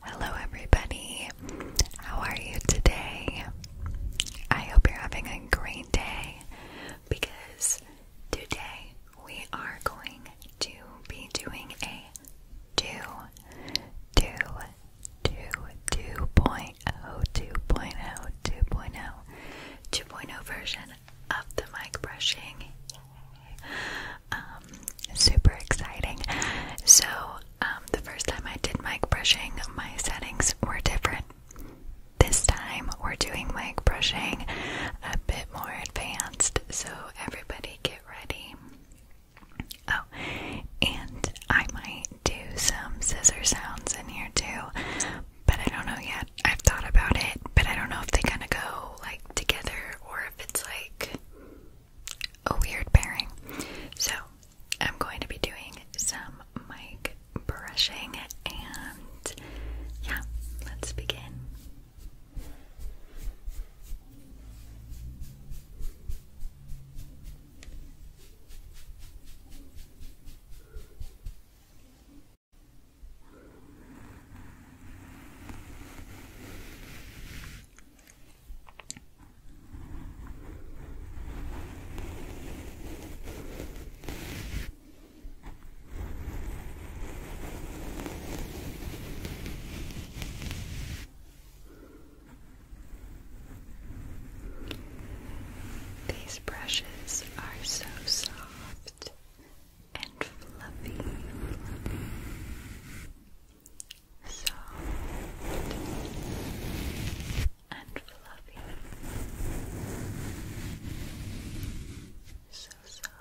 Hello, everybody. How are you today? I hope you're having a great day because today we are going to be doing a do, do, do, 2.0, 2.0, 2.0, 2.0 version of the mic brushing. Um, super exciting. So, um, the first time I did mic brushing, my settings were different. This time, we're doing mic brushing a bit more advanced. So, everybody get ready. Oh, and I might do some scissor sounds in here too, but I don't know yet. I've thought about it, but I don't know if they kind of go like together or if it's like a weird pairing. So I'm going to be doing some mic brushing and yeah, let's begin. These brushes are so soft and fluffy, fluffy. and fluffy, so Soft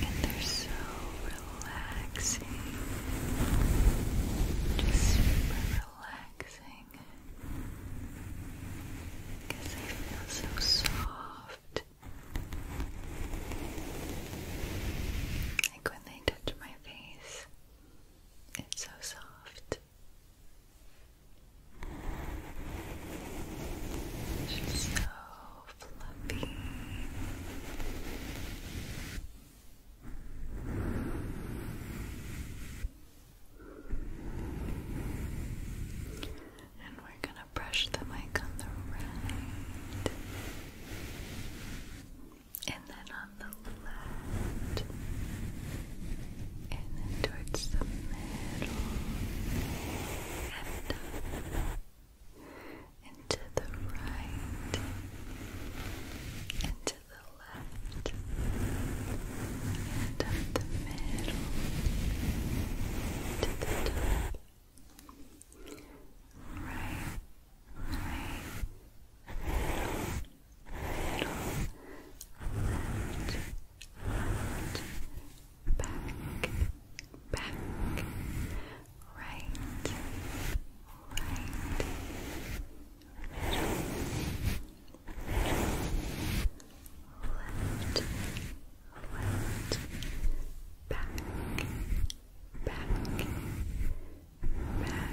and they're so relaxing. Just super relaxing. they feel so soft. Like when they touch my face, it's so soft. She's so fluffy. And we're going to brush the mic on the right. And then on on the left and then towards the middle and up uh, and to the right and to the left and up the middle to the top right, right, front, back, back, right, right, left, left, back, back, back.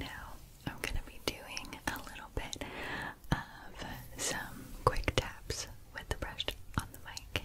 Now, I'm going to be doing a little bit of some quick taps with the brush on the mic.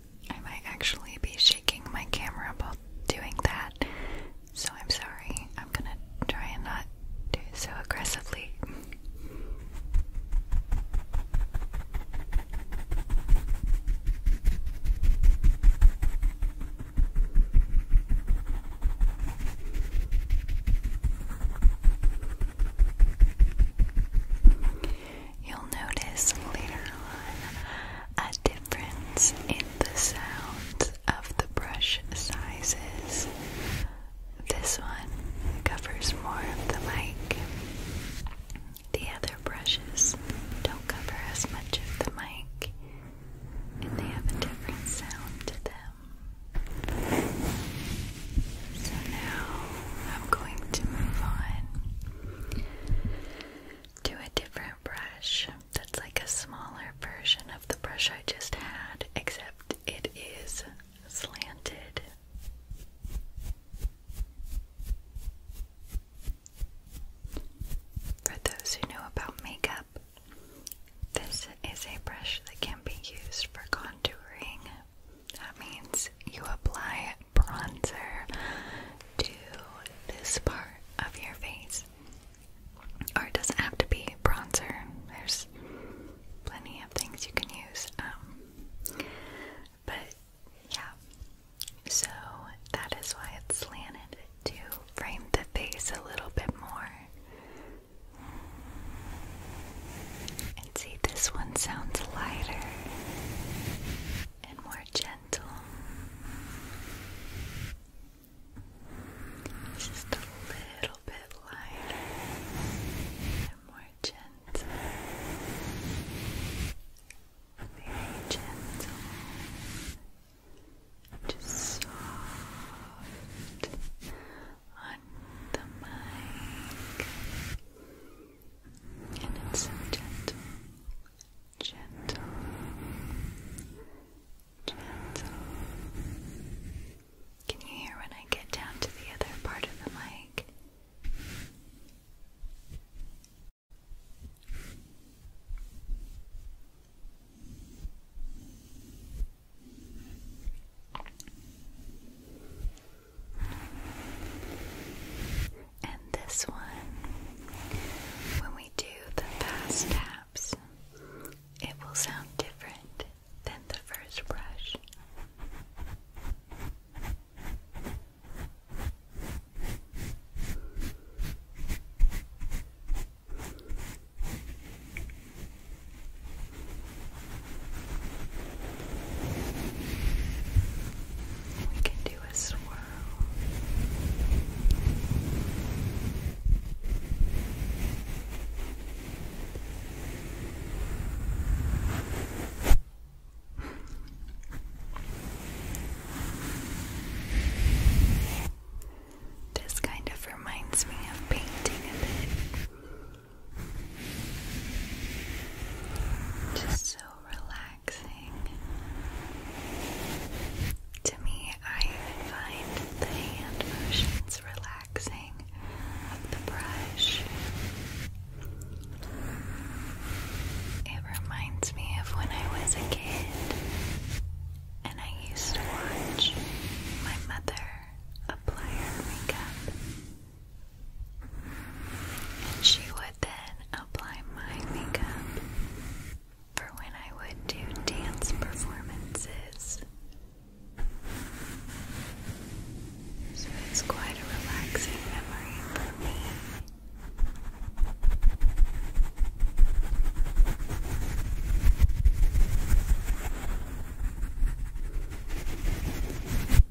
I might actually be shaking my camera while doing that, so I'm sorry. I'm gonna try and not do it so aggressively. You'll notice later on a difference in the sounds of the brush sizes. This one covers more of the mic. The other brushes don't cover as much of the mic, and they have a different sound to them. So now I'm going to move on to a different brush that's like a smaller version of the brush I just had, except it is slanted. For those who know about makeup, this is a brush that can be used for contouring that means you apply bronzer to this part of your face. Or it doesn't have to be bronzer, there's plenty of things you can use. Um, but yeah, so that is why it's slanted to frame the face a little bit more. And see, this one sounds lighter and more gentle. just a little bit lighter and more gentle. Very gentle. Just soft on the mic and it's so gentle, gentle, gentle. Can you hear when I get down to the other part of the mic? And this one, when we do the fast taps, it will sound different than the first brush. We can do a swirl. This kind of reminds me of painting a bit. Just so relaxing. To me, I find the hand motions relaxing of the brush. It reminds me of when I was a kid and I used to watch my mother apply her makeup she would then apply my makeup for when I would do dance performances. So it's quite a relaxing memory for me.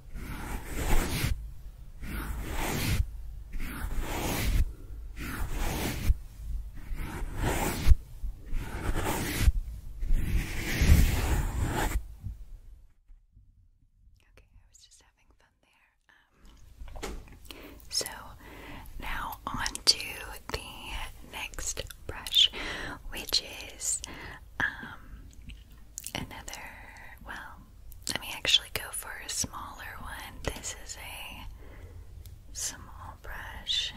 Um, so now on to the next brush, which is um, another well, let me actually go for a smaller one. This is a small brush.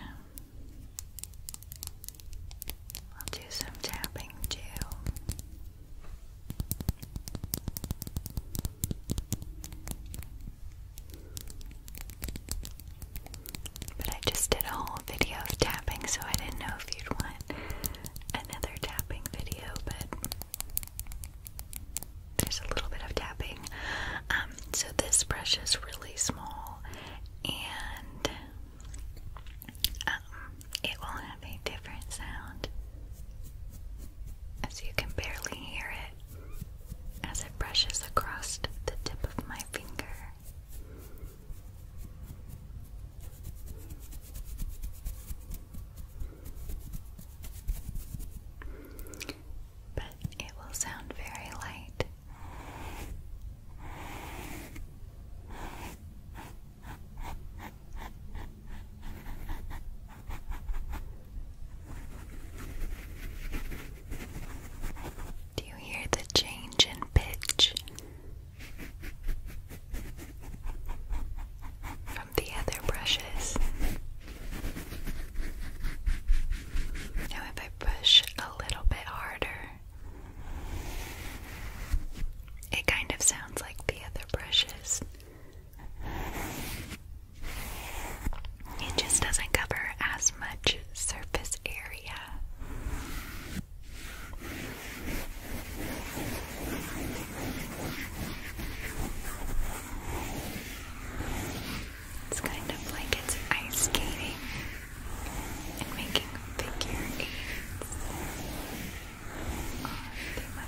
I'll do some tapping too. But I just did a whole video of tapping, so I didn't know if you'd want another tapping video, but there's a little bit of tapping. Um, so this brush is really small and um, it will have a different sound as you can barely hear it as it brushes across the tip of my finger. But it will sound very light. Do you hear the change in pitch from the other brushes. Now, if I push a little bit harder, it kind of sounds like the other brushes. It just doesn't cover as much surface area. It's kind of like it's ice skating and making figure eights on the mug.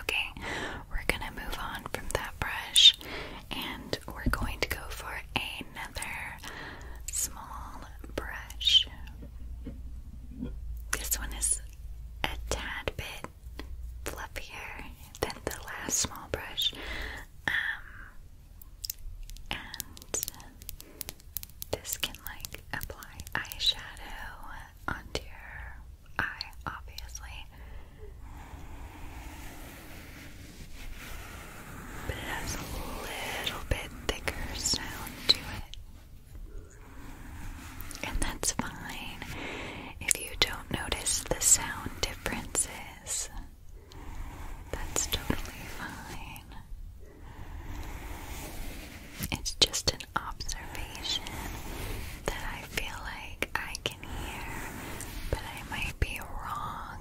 Okay, we're gonna move on from that brush and we're going to go for another small brush. This one is a tad bit fluffier than the last small brush. Um, and this can like apply eyeshadow onto your eye, obviously. But has a little bit thicker sound to it. And that's fine if you don't notice the sound differences. That's totally fine. It's just an observation that I feel like I can hear, but I might be wrong.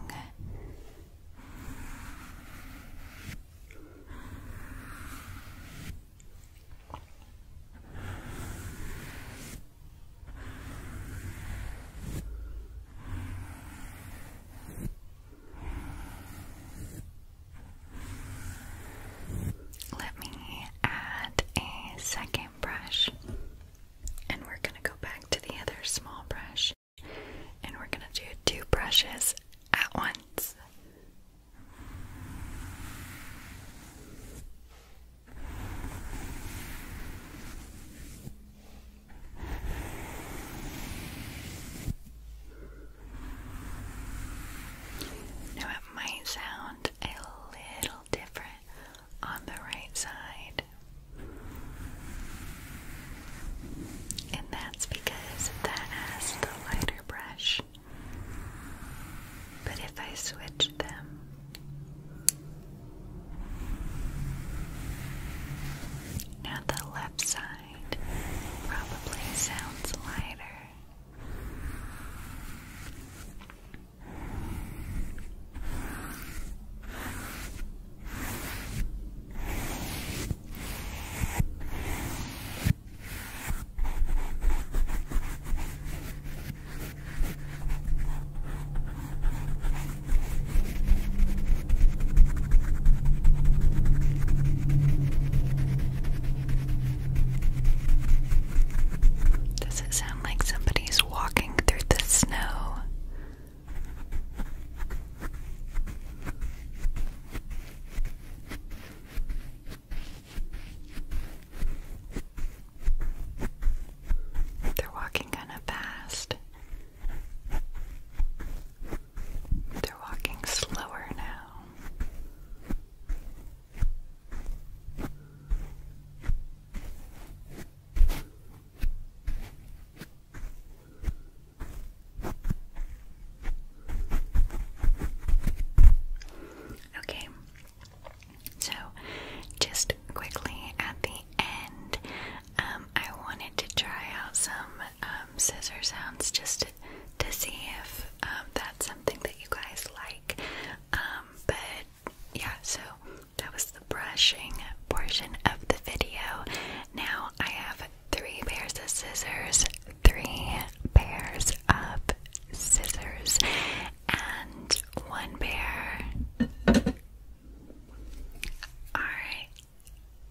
Let me add a second brush, and we're going to go back to the other small brush, and we're going to do two brushes at once hands. Now it might sound a little different on the right side. And that's because that has the lighter brush. But if I switch them, now the left side probably sounds lighter. Does it sound like somebody's walking through the snow? They're walking kind of fast. They're walking slower now. Okay, so just quickly at the end, um, I wanted to try out some um, scissor sounds just to, see if um, that's something that you guys like. Um, but yeah, so that was the brushing portion of the video. Now I have three pairs of scissors, three pairs of scissors, and one pair. Alright.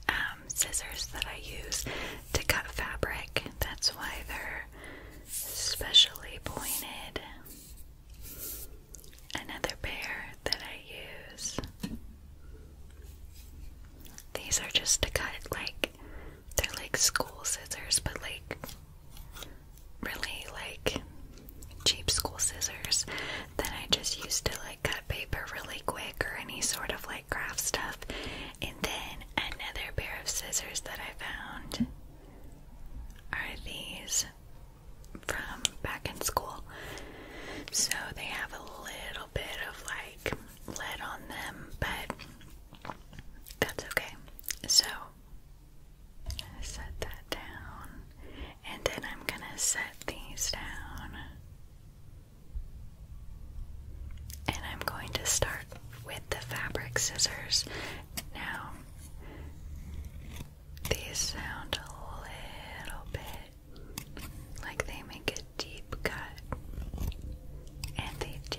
Um, scissors that I use to cut fabric. That's why they're specially pointed. Another pair that I use these are just to cut like they're like school scissors, but like really like cheap school scissors that I just used to like cut paper really quick or any sort of like craft stuff. And then another pair of scissors that I found are these from back in school. So they have a little bit of like lead on them, but that's okay. So set that down, and then I'm gonna set these down, and I'm going to start with the fabric scissors. Now, these sound a little bit like they make a deep cut. And they do.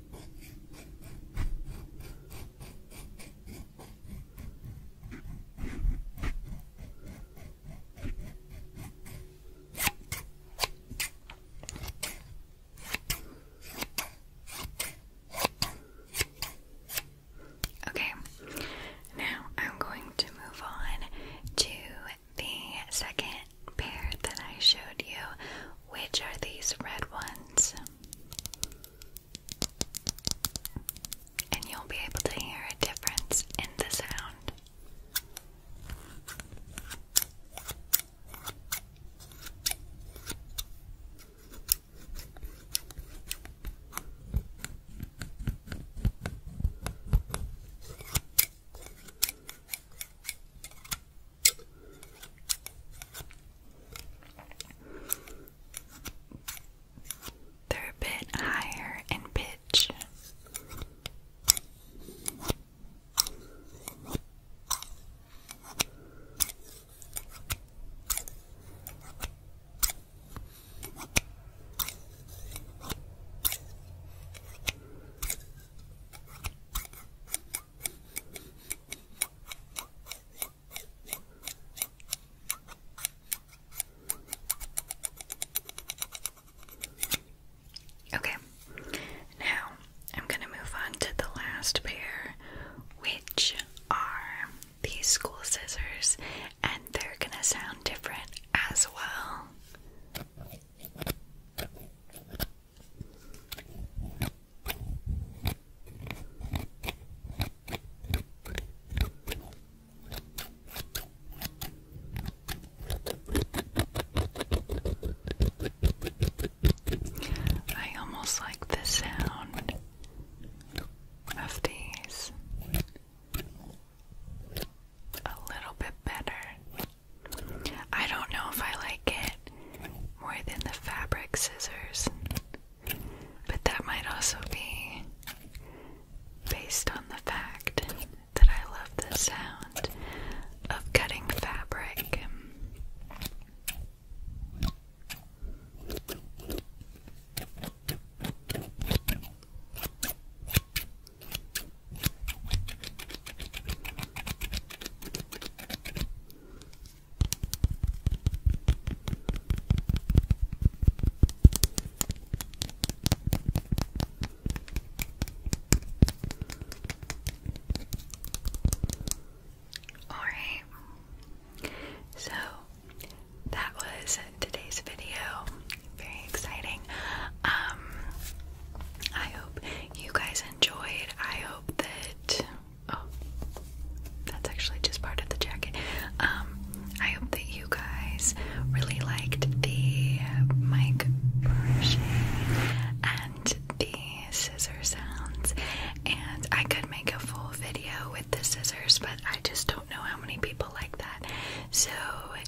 Okay, now I'm going to move on to the second pair that I showed you, which are these red ones. And you'll be able to hear a difference in the sound. They're a bit higher in pitch. Okay, now I'm going to move on to the last pair, which are these school scissors, and they're going to sound different as well. I almost like the sound of these a little bit better. I don't know if I like it more than the fabric scissors, but that might also be based on the fact that I love the sound of cutting fabric. Alright, so that was today's video. Very exciting. Um, I hope you guys enjoyed. I hope that oh that's actually just part of the jacket. Um I hope that you guys really liked the mic brushing and the scissor sounds and I could make a full video with the scissors but I just don't know how many people like that. So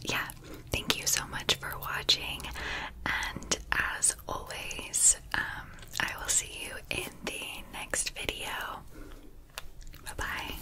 yeah, thank you so much for watching, and as always, um, I will see you in the next video. Bye bye.